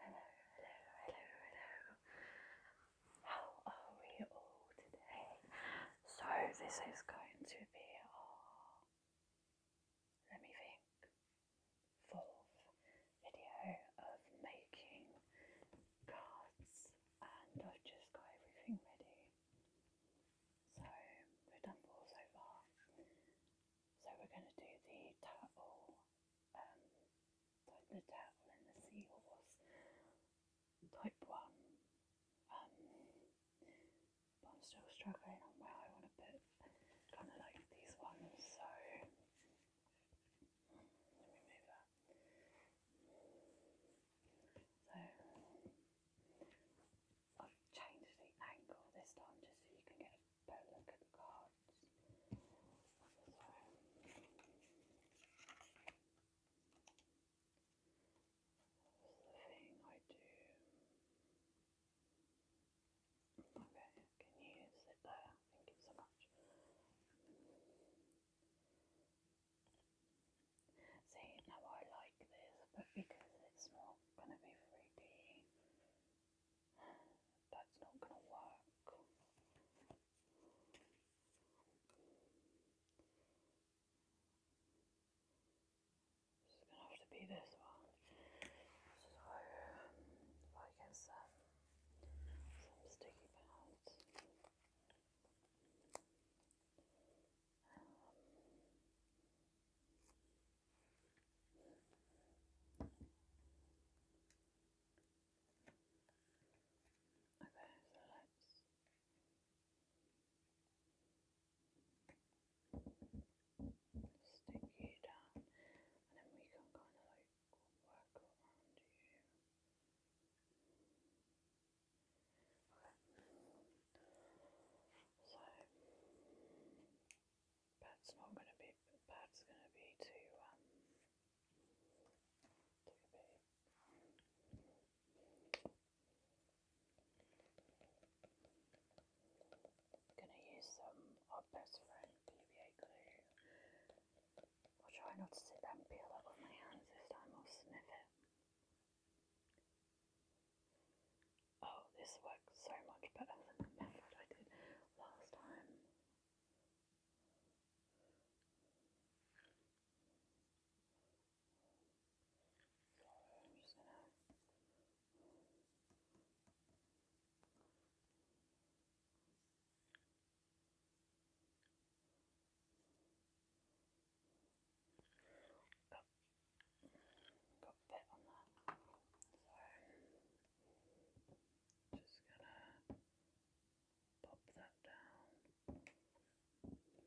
Hello, hello, hello, hello. How are we all today? So, this is going to be our, let me think, fourth video of making cards, and I've just got everything ready. So, we've done four so far. So we're going to do the turtle, um, the turtle and the seahorse type one. Um, but I'm still struggling on where I want to put kind of like these ones. So let me move that. So I've changed the angle this time just so you can get a better look at the card thing I do. Okay, can you sit there? Thank you so much. See, now I like this, but because it's not going to be 3D, that's not going to work. It's going to have to be this one. So I get some, sticky pads. Um, Okay, so let's stick you down and then we can kind of like work around you. Okay. So that's not going to be. That's going to be too. Um, too Going to use some our best friend PVA glue. I'll try not to sit there and peel up with my hands this time. I'll sniff it. Oh, this works so much better than the method I did last time. I'm just gonna Got, got a bit on that. So just gonna pop that down. And then I think after I make these cards,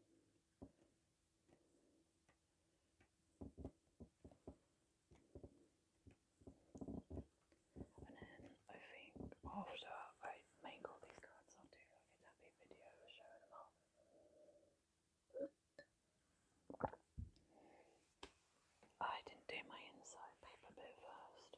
I'll do like a video showing them up. I didn't do my inside paper bit first.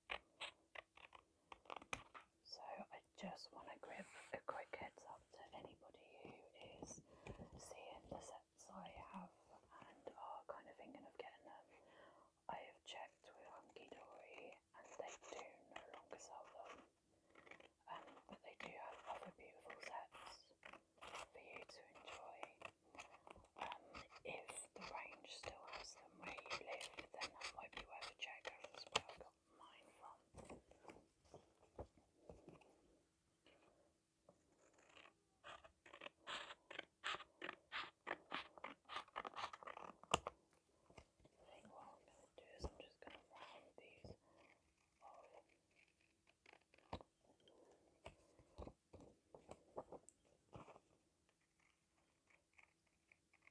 So I just want to give a quick heads up to anybody who is seeing the sets I have and are kind of thinking of getting them. I have checked with Hunky Dory and they do no longer sell them. Um, but they do have other beautiful sets for you to enjoy. Um, if the range still has from where you live, then that might be where the jackdaw is where I got mine from. I I'm going to do is I'm just going to round these off.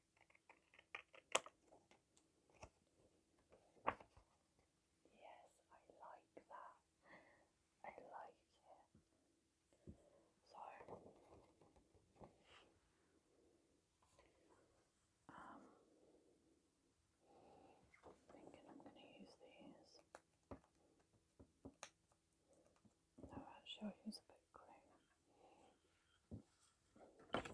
Yes, I like that. I like it. So, um, thinking I'm going to use these. So I'll show you a bit green. Okay, so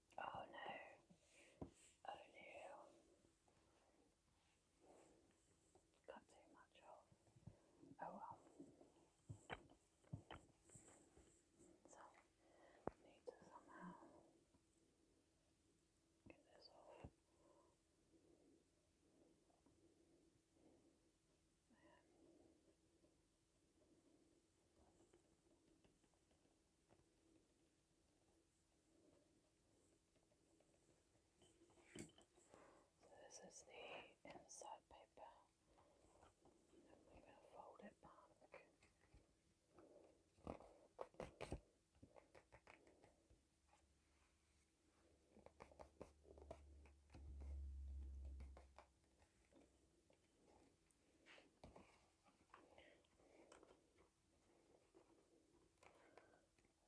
Oh no. Oh no. Got too much off. Oh well. So, need to somehow get this off. There. So this is the inside paper we're going to fold it back.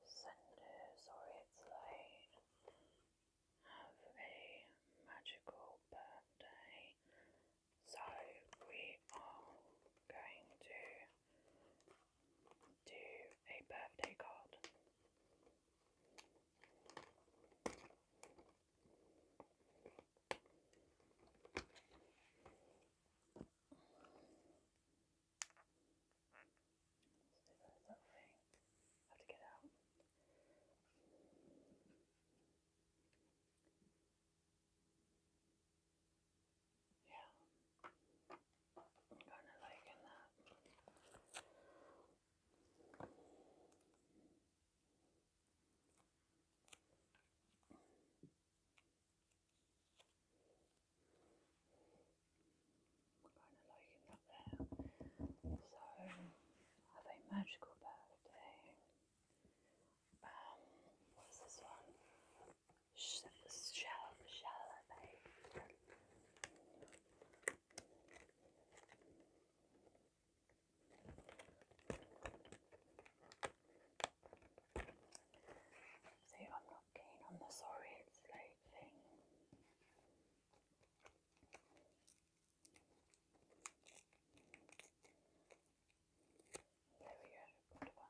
Sender, sorry it's late. Have a magical birthday. So, we are going to do a birthday card that ring. I have to get out. Yeah. I'm kind of liking that. Kind of liking that there. So, have a magical birthday. Um, what's this one? Shell, shell, babe. So I'm not keen on the sorry it's late thing. There we go, good one.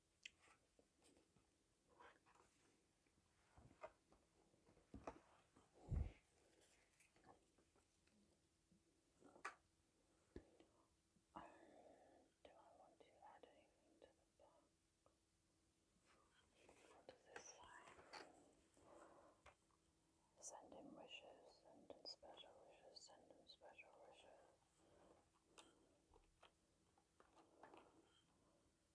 Um, do I want to add anything to the back? What does this say? Send him wishes, send him special wishes, send him special wishes.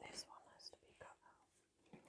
This one has to be cut out.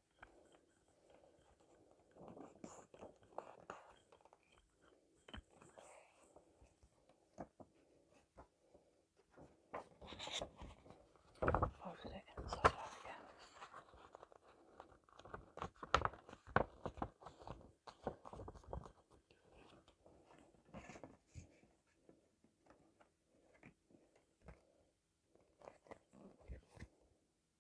Fold it inside out again.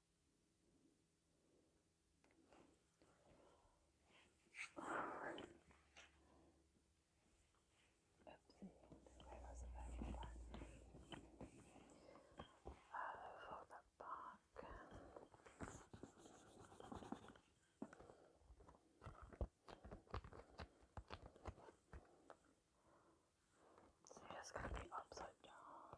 where was the paper that back. So it's be upside down.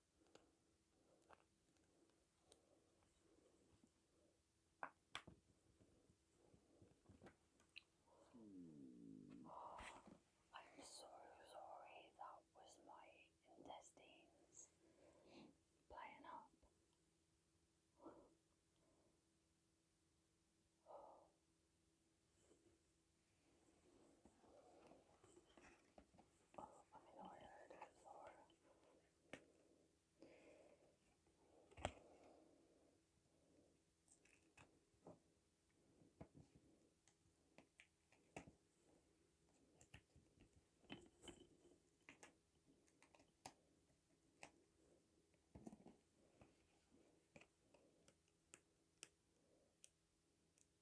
Hmm. I'm so sorry that was my intestines playing up. Oh, I know I heard it before.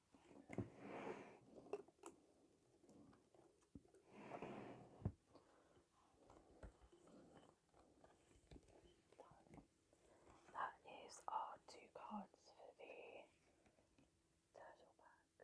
That is our two cards for the turtle back.